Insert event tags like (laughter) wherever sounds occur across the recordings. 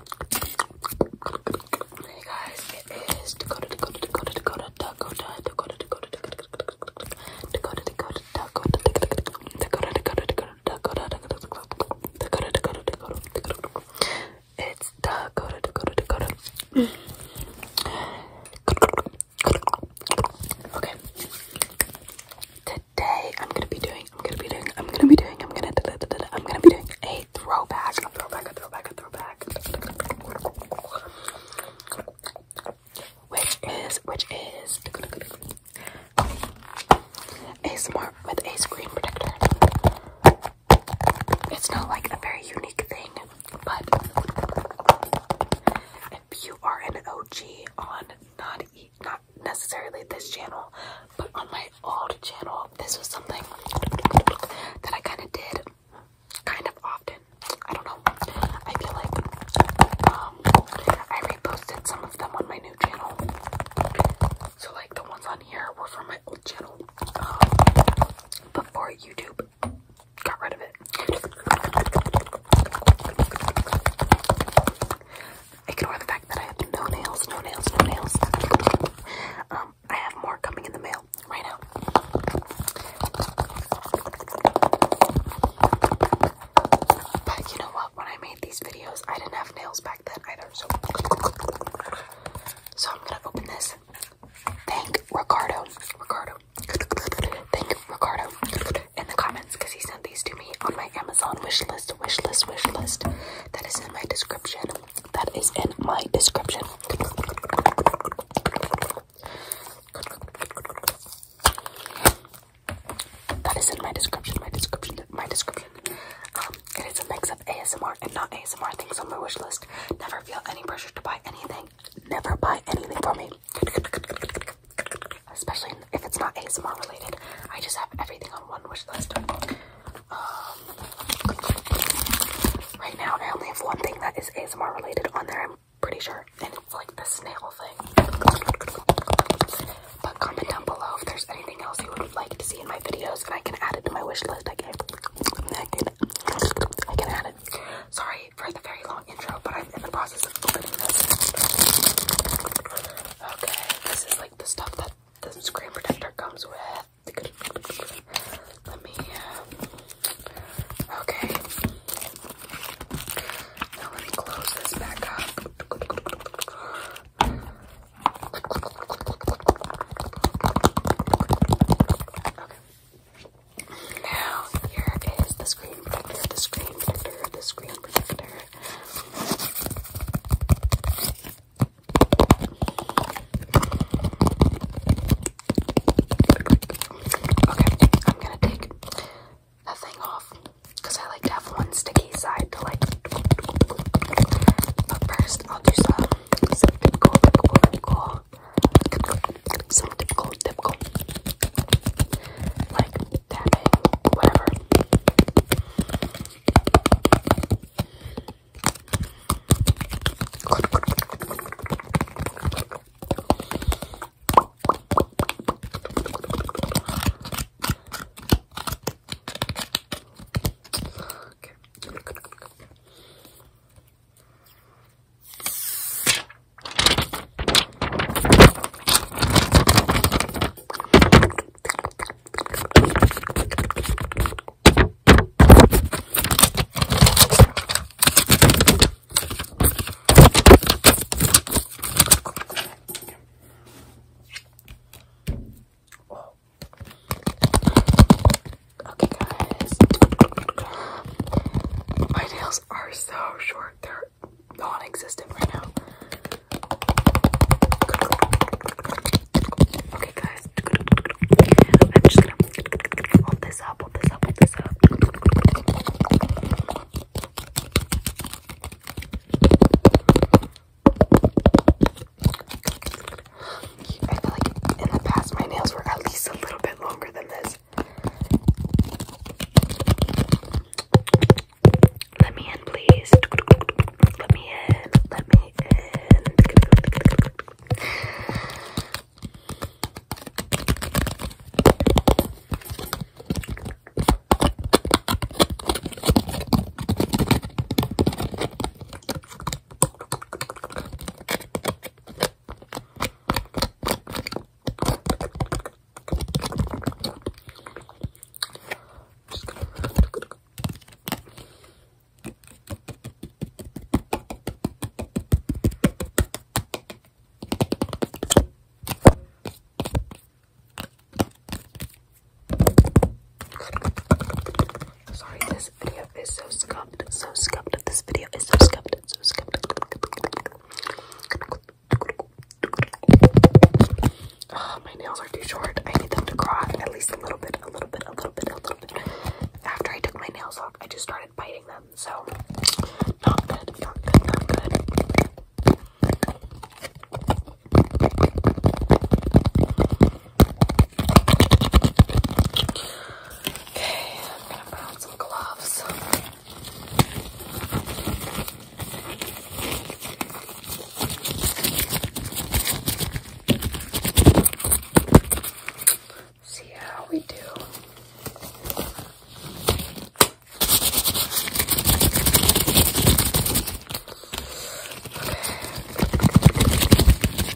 Hey guys, it is Dakota, Dakota, Dakota, Dakota, Dakota, Dakota, Dakota, Dakota, Dakota, Dakota, Dakota, Dakota, Dakota, Dakota. Dakota, Dakota, Dakota, Dakota, Dakota, Dakota. It's Dakota, Dakota, Dakota. Okay. Today I'm gonna be doing, I'm gonna be doing, I'm gonna be doing, I'm gonna, I'm gonna be doing a throwback, a throwback, a throwback, which is, which is a smart with a screen protector. It's not like a very unique thing, but if you are an OG on not, not necessarily this channel, but on my old oh, channel, this was something that I kind of did kind of often. I don't know. I feel like um, I reposted some of them on my new channel. So, like, the ones on here were from my old channel um, before YouTube got rid of it. I can't Ignore the fact that I have no nails, no nails, no nails. (laughs) Um, I have more coming in the mail right now. But you know what? When I made these videos, I didn't have nails back then either. So, so I'm gonna open this. Thank Ricardo. Ricardo. (laughs) Thank Ricardo in the comments because he sent these to me on my Amazon wishlist wishlist wishlist. That is in my description. That is in my description. That is in my description, my description, my description. Um, it is a mix of ASMR and not ASMR things on my wishlist. Never feel any pressure to buy anything. Never buy anything for me. Especially if it's not ASMR related, I just have everything on one wish list. Um, right now, I only have one thing that is ASMR related on there. I'm pretty sure, and it's like the snail thing. But comment down below if there's anything else you would like to see in my videos, and I can add it to my wish list. I can, I can, I can add it. Sorry for the very long intro, but I'm in the process of opening this. Okay, this is the stuff that the screen protector comes with. Let me. Uh, okay. Now let me close this back up. Okay. Now here is the screen protector, the screen protector, the screen protector. Okay, I'm gonna take that thing off because I like to have one sticky side to like. first, I'll do some some typical, typical, typical, some typical, typical like tapping, whatever. Okay. Okay, guys. My nails are so short. They're non-existent right now. Okay, guys. I'm just gonna hold this up, hold this up, hold this up. I feel like in the past my nails were at least a little bit longer than this. Let me in, please. Let me in. Let me in just gonna Sorry, this video video is so scuffed, so scuffed. This video is so scuffed, so scuffed. Oh, my nails are too short. I need them to croc at least a little bit, a little bit, a little bit, a little bit. After I took my nails off, I just started biting them, so not good, not good, not good. Okay, I'm gonna put on some gloves. See how we do.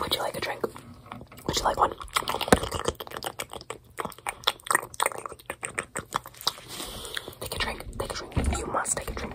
Would you like a drink? Would you like one? Take a drink, take a drink. You must take a drink.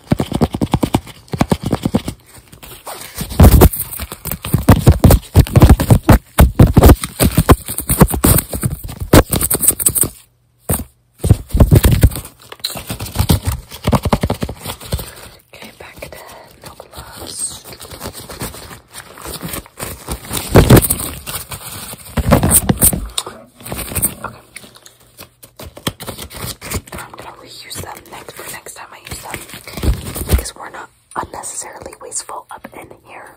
Okay, back to no gloves. Okay. I'm gonna reuse them next for next time I use them because we're not unnecessarily wasteful up in here.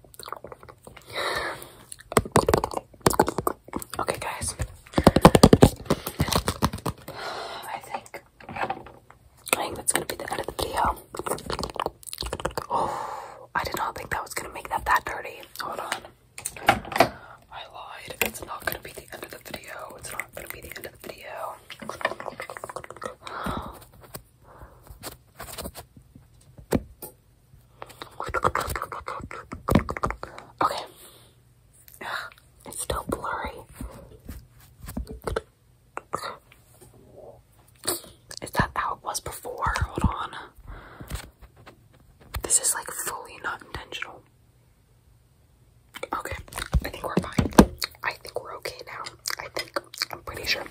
Okay, guys. I think I think that's gonna be the end of the video. Oh, I did not think that was gonna make that that dirty. Hold on. I lied. It's not gonna be the end of the video. It's not gonna be the end of the video. Okay. it's still blurry. Is that how it was before? Hold on. This is like fully not intentional. Okay, I think we're fine. I think we're okay now. I think I'm pretty sure